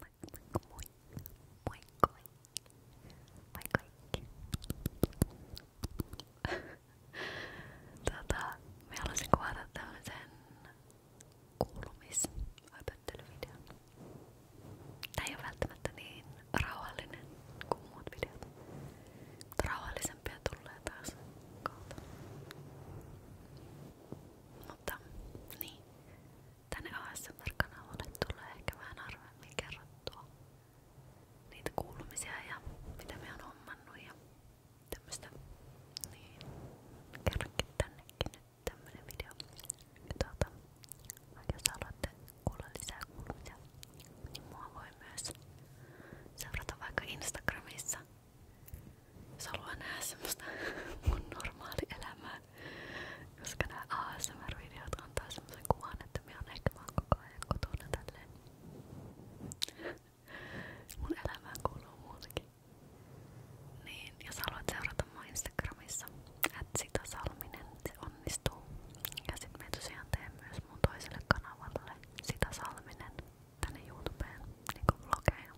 Moi, moi, moi, moi kaikki. tota, mä haluaisin kuvata tämmösen kuulumisöpöttelyvideon. Tää ei oo välttämättä niin rauhallinen kuin muut videot. Mutta rauhallisempia tulee taas kautta. Mutta, niin. Tänne ASMR-kanavalle tulee ehkä vähän harvemmin kerrottua niitä kuulumisia ja mitä me on hommannut ja tämmöstä. Niin, kerrankin tännekin nyt tämmönen video. Tuota, jos haluatte kuulla lisää kuulumisia, niin mua voi myös seurata vaikka Instagramissa jos haluaa nähdä semmoista mun normaalielämää, koska nämä ASMR-videot antaa semmoisen kuvan, että minä on ehkä vaan koko ajan kotona tälleen. Mun elämään kuuluu muutakin. Niin, jos haluat seurata mua Instagramissa, että salminen, se onnistuu. Ja sit me tosiaan teen myös mun toiselle kanavalle sitä salminen tänne YouTubeen, niinku vlogeja.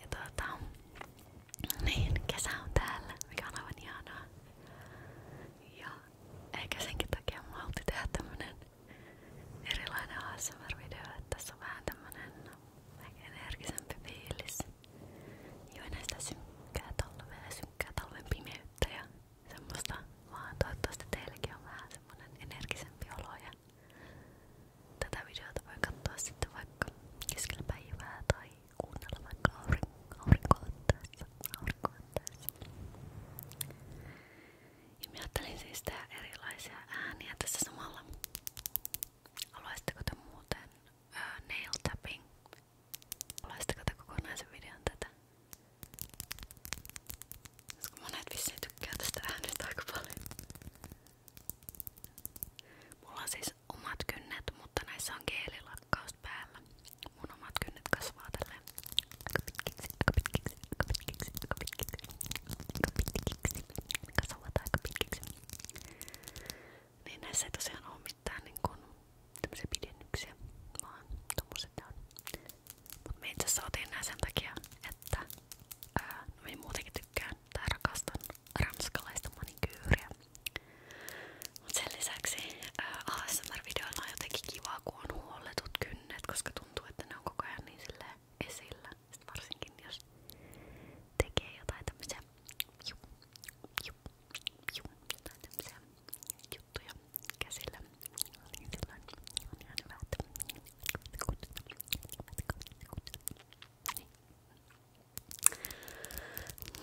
Ja tuota, niin, kesä on täällä, mikä on aivan ihanaa. Ja ehkä senkin takia mä halutti tehdä tämmönen erilainen ASMR-video, että tässä on vähän tämmönen energisempi fiilis. Joo, näistä synkkää talvea ja synkkää talven pimeyttä ja semmoista vaan toivottavasti teilläkin on vähän semmonen energisempi olo ja tätä videota voi katsoa sitten vaikka keskellä päivää tai kuunnella vaikka aurinko ottaessa, aurinko ottaessa. Ja mä ajattelin siis tehdä erilaisia ääniä tässä samalla. Haluaisitteko te muuten uh, nail tapping? Haluaisitteko te kokonaisen videon tätä? Koska monet vissiin tykkää tästä äänestä aika paljon. Mulla on siis omat kynnet, mutta näissä on geelilakkaus päällä. Mun omat kynnet kasvaa tälleen aika pitkiksi, aika pitkiksi, aika pitkiksi, aika pitkiksi, aika pitkiksi, kasvavat aika pitkiksi. Niin näissä ei tosiaan oo mitään niin kun, tämmösiä pidennyksiä, vaan tommoset on Mut me itse asiassa otin nää sen takia, että ää, no minä muutenkin tykkään tai rakastan ranskalaista manikyyriä. Mut sen lisäksi ASMR-videoilla on jotenkin kivaa, kun on huolletut kynnet, koska tuntuu, että ne on koko ajan niin silleen esillä. Sit varsinkin jos tekee jotain tämmösiä, juu, juu, juu, jotain tämmösiä juttuja käsillä. Niin silloin on ihan hyvä, että niin.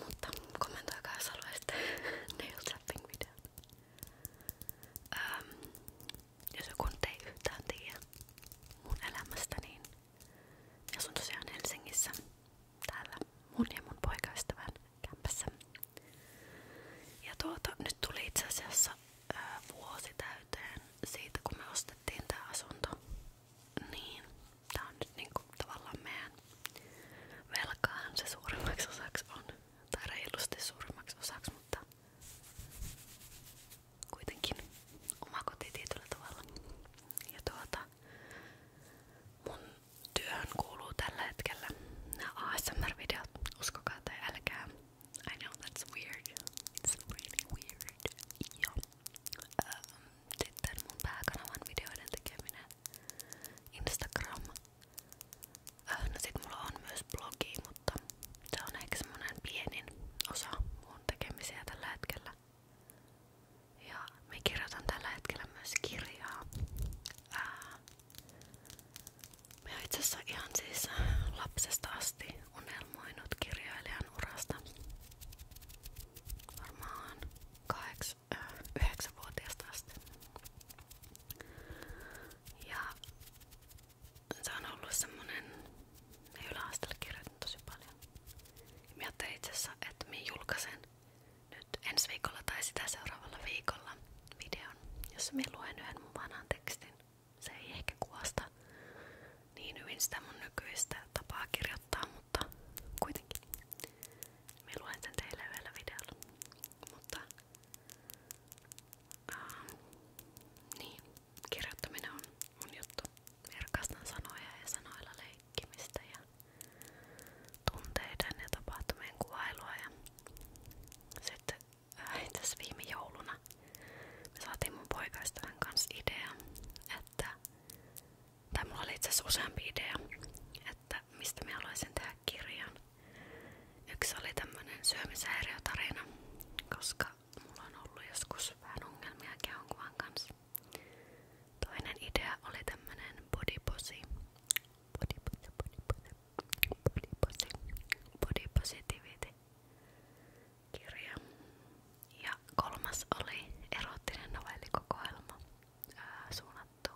Mutta kommentoikaa jos haluaisitte nail tapping videot. Um, jos joku nyt ei yhtään tiedä mun elämästä, niin asun tosiaan Helsingissä täällä mun ja mun poikaystävän kämpässä ja tuota, nyt tuli itse asiassa ää, vuosi täyteen siitä, kun me ostettiin tää asunto. Niin, tää on nyt niinku tavallaan meidän velkaahan se suurimmaksi osaksi on. Tai reilusti suurimmaksi osaksi, mutta kuitenkin oma koti tietyllä tavalla. Ja tuota, mun työhön kuuluu tällä hetkellä nämä ASMR-videot, uskokaa tai älkää. I know that's weird. It's really weird. Joo. Um, sitten mun pääkanavan videoiden tekeminen. Instagram. Uh, no sit mulla on myös blogi, mutta se on ehkä semmonen pienin osa mun tekemisiä tällä hetkellä. Ja me kirjoitan tällä hetkellä myös kirjaa. Uh, Mä oon itse asiassa ihan siis lapsesta asti unelmoinut kirjailijan urasta. Varmaan 9-vuotiaasta äh, asti. Ja se on ollut semmonen yläasteella kirjoitin tosi paljon. Ja mä ajattelin itse asiassa, että mä julkaisen nyt ensi viikolla tai sitä seuraavalla viikolla videon, jossa me luen yhden mun vanhan tekstin. Se ei ehkä kuvasta niin hyvin sitä mun nykyistä tapaa kirjoittaa, mutta kuitenkin. me luen sen teille vielä videolla. Mutta ähm, niin, kirjoittaminen on mun juttu. Minä rakastan sanoja ja sanoilla leikkimistä ja tunteiden ja tapahtumien kuvailua. Ja sitten itse äh, asiassa viime jouluna me saatiin mun poikaistavan kanssa idea, että tai mulla oli itse asiassa useampi idea, että mistä mä haluaisin tehdä kirjan. Yksi oli tämmönen syömishäiriötarina, koska mulla on ollut joskus vähän ongelmia kehonkuvan kanssa. Toinen idea oli tämmönen bodyposi body, body, body, body, body, body positivity kirja. Ja kolmas oli erottinen novellikokoelma ää, suunnattu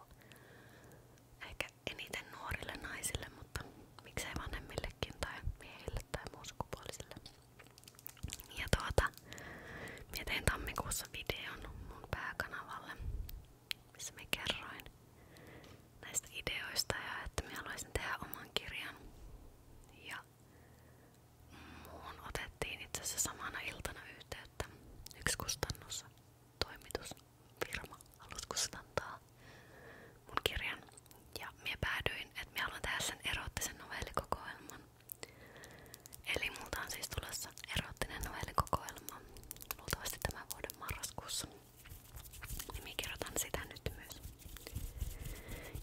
ehkä eniten nuorille naisille, mutta miksei vanhemmillekin tai miehille tai muun sukupuolisille. Ja tuota, mietin tammikuussa videon mun pääkanavalle missä mä kerroin näistä ideoista ja että mä haluaisin tehdä oman kirjan. Ja muun otettiin itse asiassa samana iltana yhteyttä yksi kustannus, toimitusfirma halusi kustantaa mun kirjan. Ja mä päädyin, että mä haluan tehdä sen erottisen novellikokoelman. Eli multa on siis tulossa erottinen novellikokoelma luultavasti tämän vuoden marraskuussa. Niin minä kerrotan sitä nyt myös.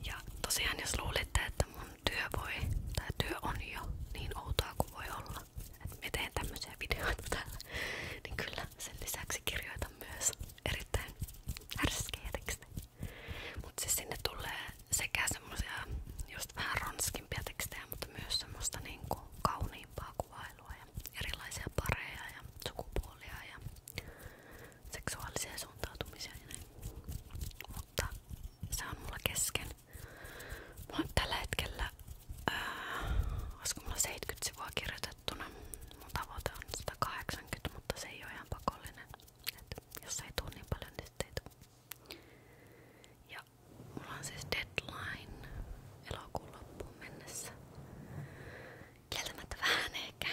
Ja tosiaan jos luulitte, että mun työ voi, tai työ on jo niin outoa kuin voi olla, että me teen tämmöisiä videoita täällä, niin kyllä sen lisäksi kirjoitan myös erittäin härskejä tekstejä. Mutta siis sinne tulee sekä semmosia just vähän ronskimpia tekstejä, mutta myös semmoista niinku kauniimpaa kuvailua ja erilaisia pareja ja sukupuolia ja seksuaalisia suuntautumisia ja näin. Mutta se on mulla kesken. Mulla on tällä hetkellä, ää, äh, olisiko mulla 70 sivua kirjoitettuna. Mun tavoite on 180, mutta se ei ole ihan pakollinen. Et jos ei tuu niin paljon, niin sitten ei tuu. Ja mulla on siis deadline elokuun loppuun mennessä. Kieltämättä vähän ehkä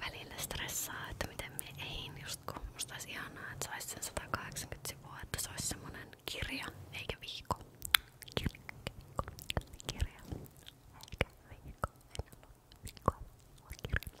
välillä stressaa, että miten me ei just kun musta olisi ihanaa, että saisi sen 180 sivua, että se olisi semmonen kirja eikä viikko. Kirja, kirja, eikä viikko, en halua viikkoa, vaan kirja.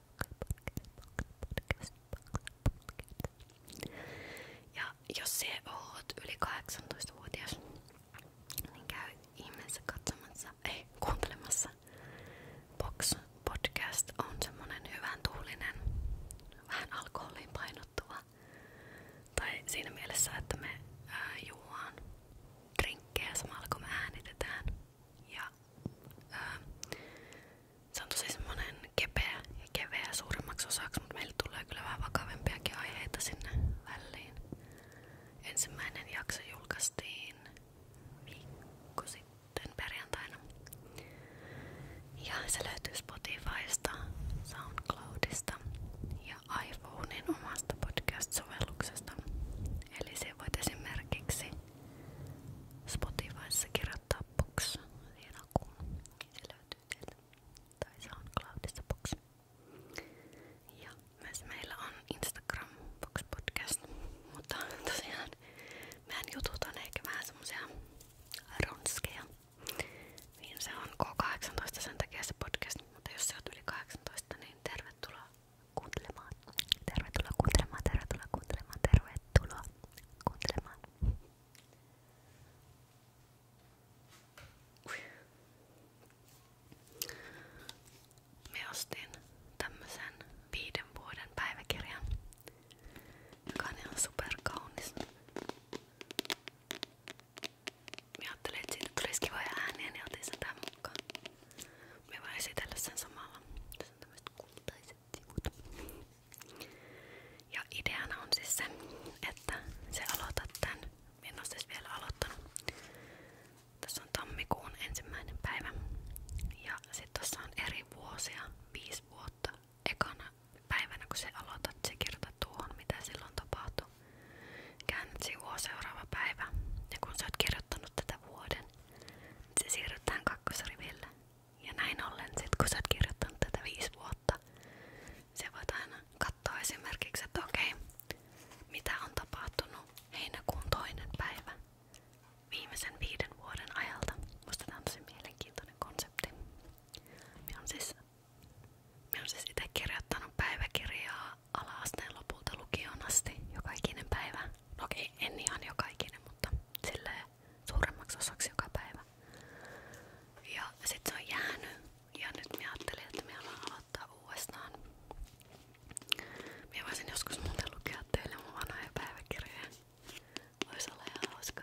podcast, podcast. Ja jos se oot yli 18-vuotias, niin käy ihmeessä katsomassa, ei kuuntelemassa. Box podcast on semmonen hyvän tuulinen, vähän alkoholiin painottuva. Tai siinä mielessä, että me ää, juuaan drinkkejä samalla kun me äänitetään. Ja, ää, se on tosi semmonen kepeä ja keveä suurimmaksi osaksi, mutta meille tulee kyllä vähän vakavempiakin aiheita sinne väliin. Ensimmäinen jakso julkaistiin viikko sitten perjantaina. Ja se löytyy Spotifysta, Soundcloudista ja iPhonein omasta podcast-sovelluksesta. Eli se voit esimerkiksi Spotifyssa kirjoittaa box siihen akuun. Se löytyy teiltä. Tai se on Cloudista box. Ja myös meillä on Instagram box podcast. Mutta tosiaan meidän jutut on ehkä vähän semmosia ronskeja. Niin se on K18 sen takia se podcast. Mutta jos sä oot yli 18, niin tervetuloa kuuntelemaan. Tervetuloa kuuntelemaan, tervetuloa kuuntelemaan, tervetuloa kuuntelemaan. Me ostin tämmösen viiden vuoden päiväkirjan, joka on ihan superkaunis. Mä ajattelin, että siitä tulisi kivoja ääniä, niin otin sen tähän mukaan. Mä voin esitellä sen samalla tämmöiset kultaiset on siis se, että se aloitat tän, en ole siis vielä aloittanut. Tässä on ensimmäinen päivä. Ja sit tossa on eri vuosia, viisi vuotta. Ekana päivänä kun se se kirjoitat tuohon mitä silloin tapahtui. Käännät sivua seuraava päivä. kun sä oot kirjoittanut tätä vuoden, niin se Ja näin ollen, sit kun sä se voit aina katsoa esimerkiksi, että okei, mitä on tapahtunut heinäkuun toinen päivä viimeisen viiden vuoden ajalta. Musta tää on tosi mielenkiintoinen konsepti. Minä on siis, minä on siis itse kirjoittanut päiväkirjaa ala-asteen lopulta lukioon asti joka ikinen päivä. No okei, en ihan joka ikinen, mutta silleen suuremmaksi osaksi joka päivä. Ja sit se on jäänyt. Ja nyt mä ajattelin, että me haluan aloittaa uudestaan. Mä voisin joskus muuten lukea teille mun vanhoja päiväkirjoja. Vois olla ihan hauska.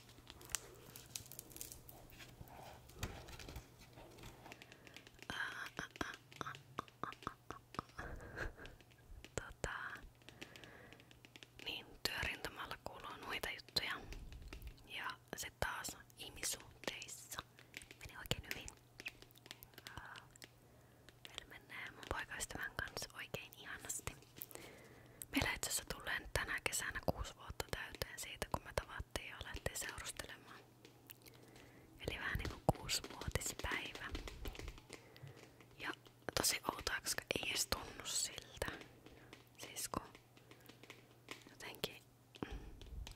Tota, niin, työrintamalla kuuluu noita juttuja. Ja se taas ihmissuhteissa meni oikein hyvin. Meillä menee mun poikaystävän kanssa oikein ihanasti. Meillä itse asiassa tulee nyt tänä kesänä kuusi vuotta täyteen siitä, kun me tavattiin ja alettiin seurustelemaan. Eli vähän niinku kuusivuotispäivä. Ja tosi outoa, koska ei edes tunnu siltä. Siis kun jotenkin mm,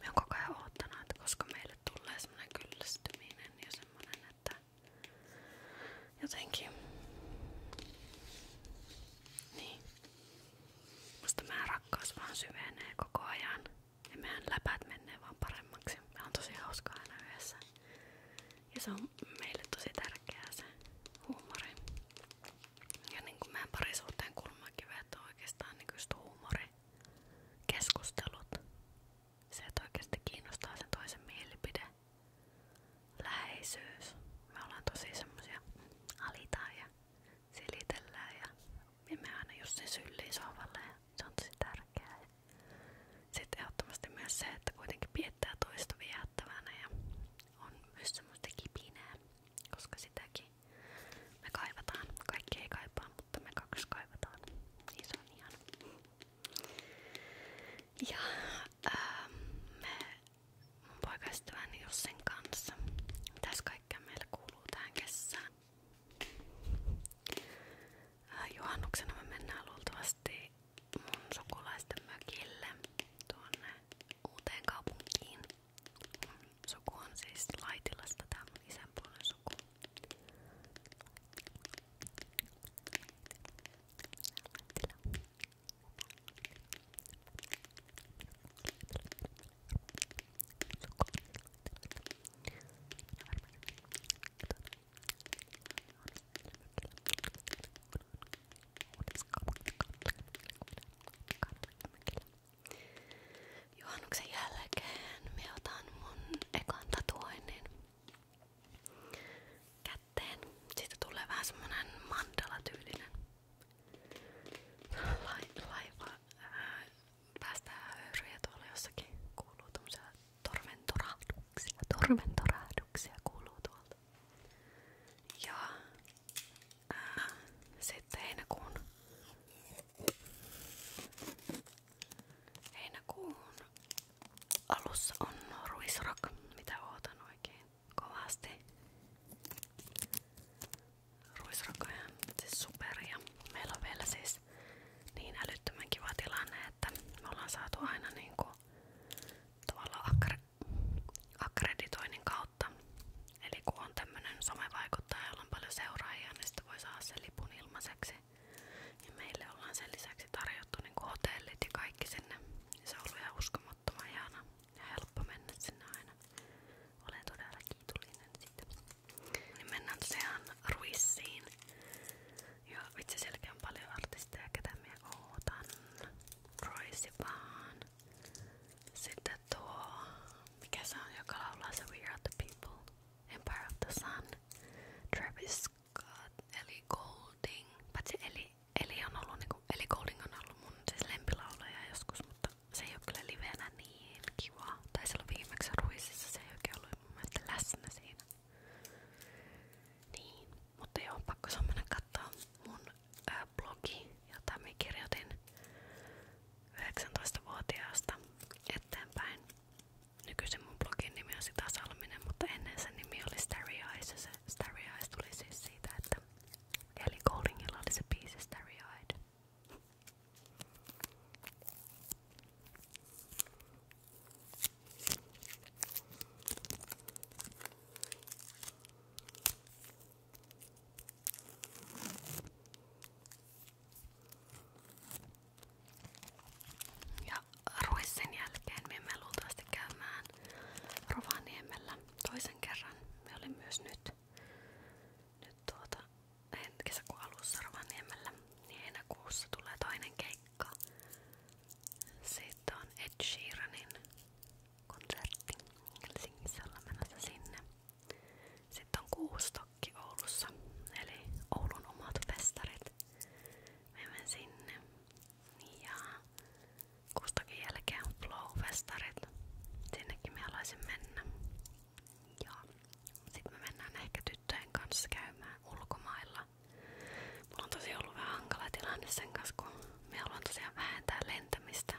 me on koko ajan oottanut, että koska meille tulee semmonen kyllästyminen ja semmonen, että jotenkin niin. Musta mä rakkaus vaan syvenee koko ajan ja meidän läpät menee vaan paremmaksi. Me on tosi hauskaa aina yhdessä. Ja se on meille tosi tärkeää se huumori. Ja niin kuin meidän parisuhteen kulmakivet on oikeastaan nykyistä niin huumori. Keskustelut. Se, että oikeasti kiinnostaa sen toisen mielipide. Läheisyys. Me ollaan tosi semmosia alitaajia silitellään ja, ja me aina just sen syllii sohvalle ja se on tosi tärkeää. Ja sitten ehdottomasti myös se, että kuitenkin piettää toista viehättävänä ja on myös semmoista kipinää, koska sitäkin me kaivataan. Kaikki ei kaipaa, mutta me kaksi kaivataan. Niin se on ihan. Ja ää, ähm, me mun poikaystäväni Jussen kanssa. Mitäs kaikkea meillä kuuluu tähän kesään? Äh, juhannuksena me mennään luultavasti mun sukulaisten mökille tuonne uuteen kaupunkiin. Mun suku on siis Laitilasta, tää mun isän puolen suku. Laitila. Juhannuksen jälkeen me otan mun ekan tatuoinnin kätteen. Siitä tulee vähän semmonen mandala tyylinen laiva ää, äh, päästää höyryjä tuolla jossakin. Kuuluu tuommoisia torventorahduksia. Torventorahduksia kuuluu tuolta. Ja ää, äh, sitten heinäkuun Heinäkuun alussa on ruisrock, mitä ootan oikein kovasti ruisrokoja, siis superia. Meillä on siis niin älyttömän kiva tilanne, saatu aina niinku tavallaan akre, Eli kun on tämmönen somevaikuttaja, jolla on paljon seuraajia, niin ilmaiseksi. meille ollaan sen lisäksi niinku hotellit ja kaikki sinne. Ja arvottoman ihana ja helppo mennä sinne aina. Niin mennään tosiaan Ruissiin. Ja vitsi sielläkin on paljon artisteja, ketä minä ootan. Roisi vaan. Sitten tuo, mikä se on, joka laulaa se We Are The People, Empire of the Sun, Travis Scott, Ellie Golding, paitsi Ellie Eli, on ollut, niinku, eli Golding on ollut mun siis lempilaulaja joskus, mutta se ei ole kyllä livenä niin kiva. Tai silloin viimeksi Ruisissa se ei oikein ollut mun mielestä läsnä siinä. Niin, mutta joo, pakko se mennä katsoa mun ää, blogi, jota mä kirjoitin 19-vuotiaasta eteenpäin. Nykyisin mun blogin nimi on Sita Salminen, mutta ennen sen nimi oli Starry Eyes ja se Starry Eyes tuli siis siitä, että Eli Collingilla oli se biisi Starry Eyed. Ja ruis sen jälkeen me emme luultavasti käymään Rovaniemellä toisen kerran. Me olin myös nyt, nyt tuota, kesäkuun alussa Rovaniemellä, niin heinäkuussa tulee toinen keikka. Sitten on Ed Sheeranin konsertti Helsingissä ollaan menossa sinne. Sitten on Kuustokki Oulussa, eli Oulun omat festarit. Me menen sinne. Ja kustakin jälkeen flow-festarit. Sinnekin me alaisin mennä. Ja sitten me mennään ehkä tyttöjen ulkomailla. Mulla on tosi ollut vähän hankala kun me haluan tosiaan vähentää lentämistä.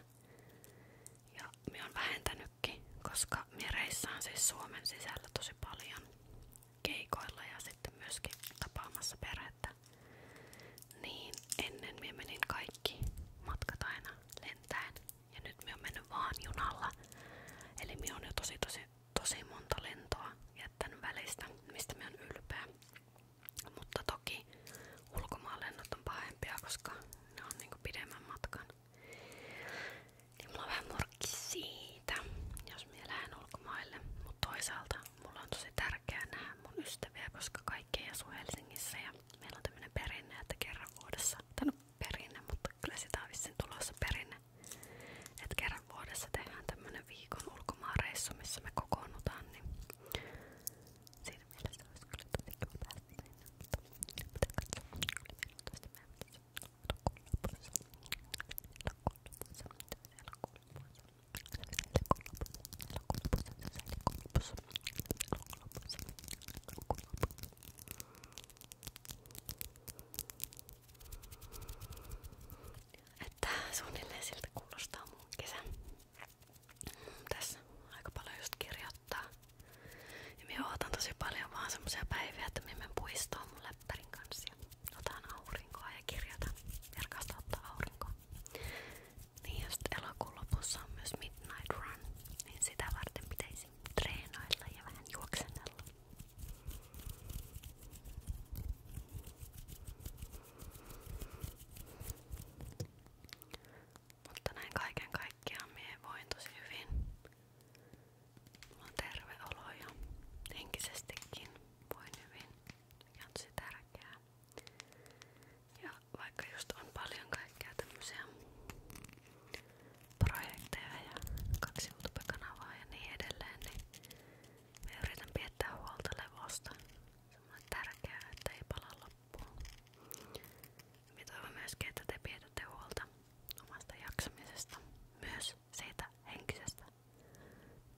Ja me on vähentänytkin, koska me reissaan siis Suomen sisällä tosi paljon keikoilla ja sitten myöskin tapaamassa perä niin ennen minä menin kaikki matkat aina lentäen ja nyt minä on mennyt vaan junalla. Eli minä on tosi tosi tosi monta lentoa jättänyt välistä, mistä minä ylpeä. Mutta toki ulkomaanlennot on pahempia, koska ne on niinku pidemmän matkan. Niin mulla on vähän jos minä lähden ulkomaille. Mutta toisaalta mulla on tosi tärkeää nähdä mun ystäviä, koska kaikki ei asu Helsingissä ja meillä on tämmönen perinne, että kerran vuodessa, tai no perinne, mutta kyllä sitä on vissiin tulossa perinne, että kerran vuodessa tehdään tämmönen viikon ulkomaanreissu, missä me kokoonnutaan, niin siinä mielessä olisi kyllä tietenkin me päästiin sinne, mutta pitää katsoa, oli 14 päivä tässä elokuun lopussa, elokuun lopussa, elokuun lopussa, että suunnilleen siltä kuulostaa mun kesä. Tässä aika paljon just kirjoittaa. Ja minä ootan tosi paljon vaan semmoisia päiviä, että minä menen puistoon mun läppärin kanssa ja otan aurinkoa ja kirjoitan. Verkasta ottaa aurinkoa. Niin ja sitten elokuun lopussa on myös Midnight Run, niin sitä varten pitäisi treenailla ja vähän juoksennella. Mutta näin kaiken kaikkiaan mie voin tosi hyvin. Mulla on terve olo ja henkisestikin voin hyvin, mikä on tosi tärkeää. Ja vaikka just on paljon kaikkea tämmöisiä projekteja ja kaksi YouTube-kanavaa ja niin edelleen, niin me yritän piettää huolta levosta. Se on tärkeää, että ei pala loppuun. Me toivon myöskin, että te pidätte huolta omasta jaksamisesta, myös siitä henkisestä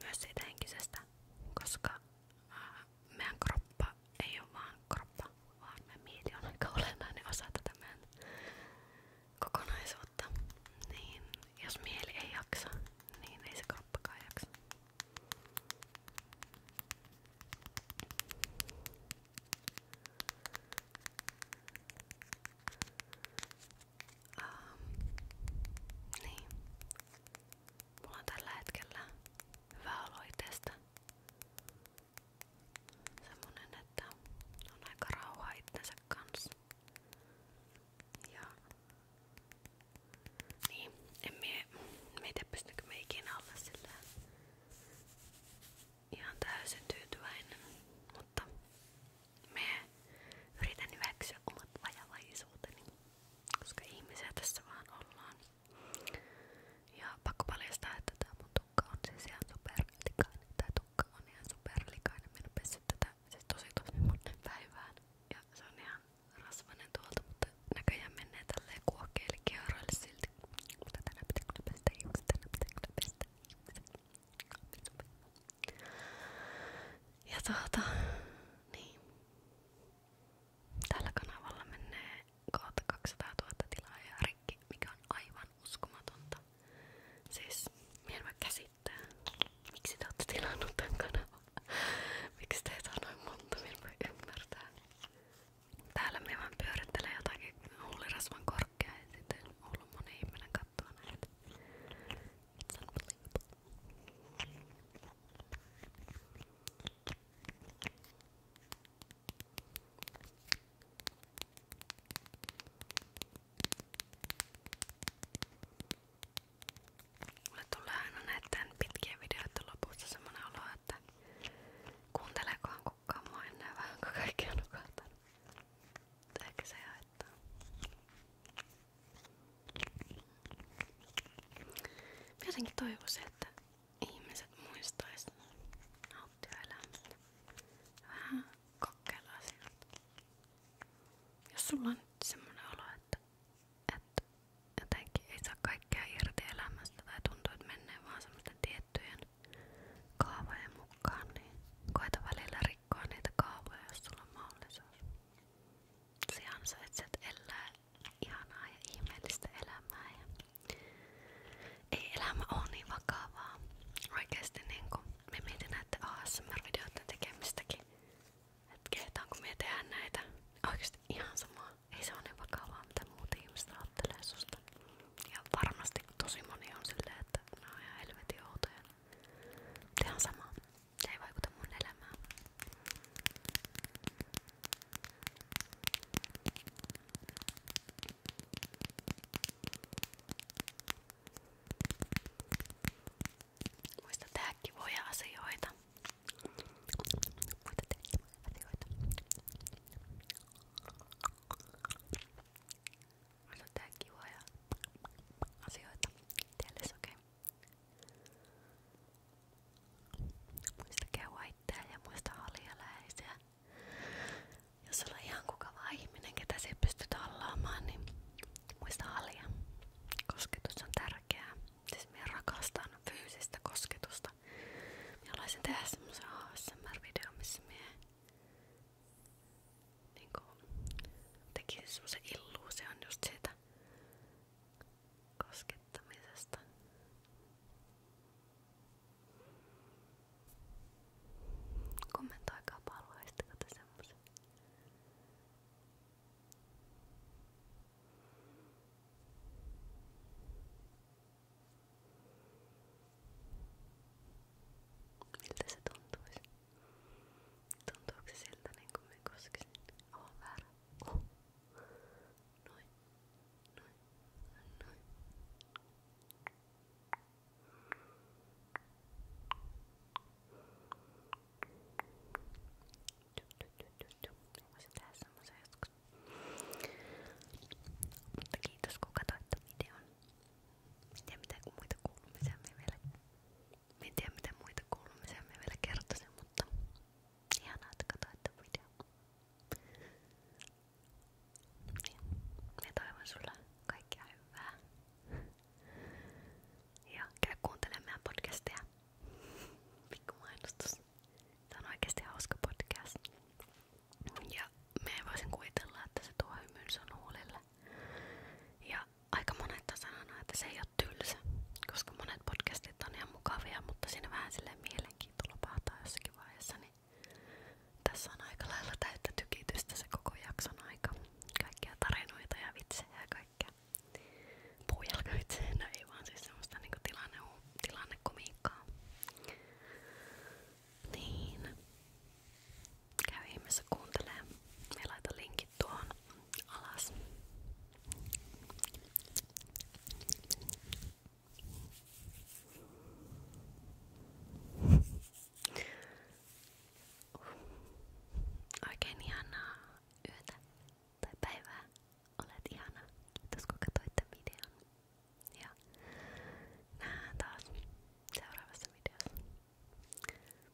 myös siitä henkisestä, koska äh, meidän kroppa ei ole vaan kroppa, vaan me mieli on aika olennainen osa tätä meidän kokonaisuutta. Niin jos mieli ei jaksa, niin ei se kroppakaan jaksa. Um, niin. Mulla on tällä hetkellä hyvä olo itsestä. Semmonen, että on aika rauha itsensä kanssa. Ja niin, en mie, mie tiedä pystykö me ikinä olla sillä ihan täysin tyytyväinen, mutta me yritän hyväksyä omat vajavaisuuteni koska ihmisiä tässä vaan ollaan. Ja pakko paljastaa, että tää mun tukka on siis ihan superlikainen. Tää tukka on ihan superlikainen. Minä pesin tätä siis tosi tosi monen päivään. Ja se on ihan rasvanen tuolta, mutta näköjään menee tälleen kuokeille kierroille silti. Mutta tänään pitää kyllä pestä hiukset, tänään pitää kyllä pestä hiukset. Ja tuota, niin. Tällä kanavalla menee kohta 200 000 tilaajaa rikki, mikä on aivan uskomatonta. Siis, minä en voi käsittää, miksi te olette tilannut tämän kanavan. Miksi teitä on noin monta, minä voi ymmärtää. Täällä minä vaan pyörittelen jotakin huulirasvan korkea ja sitten on ollut moni ihminen katsoa näitä. It's unbelievable. Mulle tulee aina näiden pitkien videoiden lopussa semmonen olo, että kuunteleekohan kukaan mua enää vähän, kun kaikki on nukahtanut. Mutta ehkä se haittaa. Jotenkin toivoisin, että ihmiset muistaisi nauttia elämästä. Vähän kokkeilla siltä. Jos sulla on nyt semmonen olo, että, että jotenkin ei saa kaikkea irti elämästä tai tuntuu, että menee vaan semmoisten tiettyjen kaavojen mukaan, niin koeta välillä rikkoa niitä kaavoja, jos sulla on mahdollisuus. Se ansaitset elää ihanaa ja ihmeellistä elämää. Ja ei elämä ole niin vakavaa. Oikeesti niin kun me mietin näiden ASMR-videoiden tekemistäkin. Että kehtaanko me tehdä näitä. Niin oikeesti ihan samaa. Ei se ole niin vakavaa mitä muut ihmiset ajattelee susta. Ja varmasti tosi moni on silleen, että nämä on ihan helvetin outoja. Tehän sama. Tämä ei vaikuta mun elämään. Muista tehdä kivoja asioita. Muista tehdä kivoja asioita. Muista tehdä kivoja asioita. Tiedätkö, okei? Okay. Muistakaa Whitea ja muista halialäisiä. Jos olet ihan kukava ihminen, se pystyt hallaamaan, niin muista halia. on tärkeää. Siis minä rakastan fyysistä kosketusta. Minä tehdä semmoisen ASMR-videon, missä minä niin tekisin semmoisen illuusion just siitä koskettamisesta. Kommentoikaa palveluistiko te semmosen. Miltä se tuntuisi? Tuntuuko se siltä niin kuin me koskisin? Oh, väärä. Oh. Noin. Noin. Noin. Mä voisin tehdä semmosen joskus. Mutta kiitos kun katsoit videon. En tiedä mitä muita kuulumisia me vielä en tiedä miten muita kuulumisia me vielä kertoisin, mutta ihanaa, että katsoitte videon. Niin. Mä toivon sulle kaikkea hyvää. Ja käy kuuntelemaan meidän podcastia. Pikku mainostus. Tää on oikeesti hauska podcast. Ja me voisin kuvitella, että se tuo hymyn sun huulille. Ja aika monet sanoo, että se ei ole tylsä, koska monet podcastit on ihan mukavia, mutta siinä vähän silleen mielenkiinto lopahtaa jossakin vaiheessa, niin tässä on aika lailla täyttä tykitystä se koko jakson aika. Kaikkia tarinoita ja vitsejä ja kaikkea. Puujalkavitsejä, no ei vaan siis semmoista niinku tilanne, tilannekomiikkaa. Niin. Käy ihmeessä kuuntelee. Me laitan linkit tuohon alas. Oikein ihanaa yötä tai päivää. Olet ihana. Kiitos kun katsoitte videon. Ja nähdään taas seuraavassa videossa.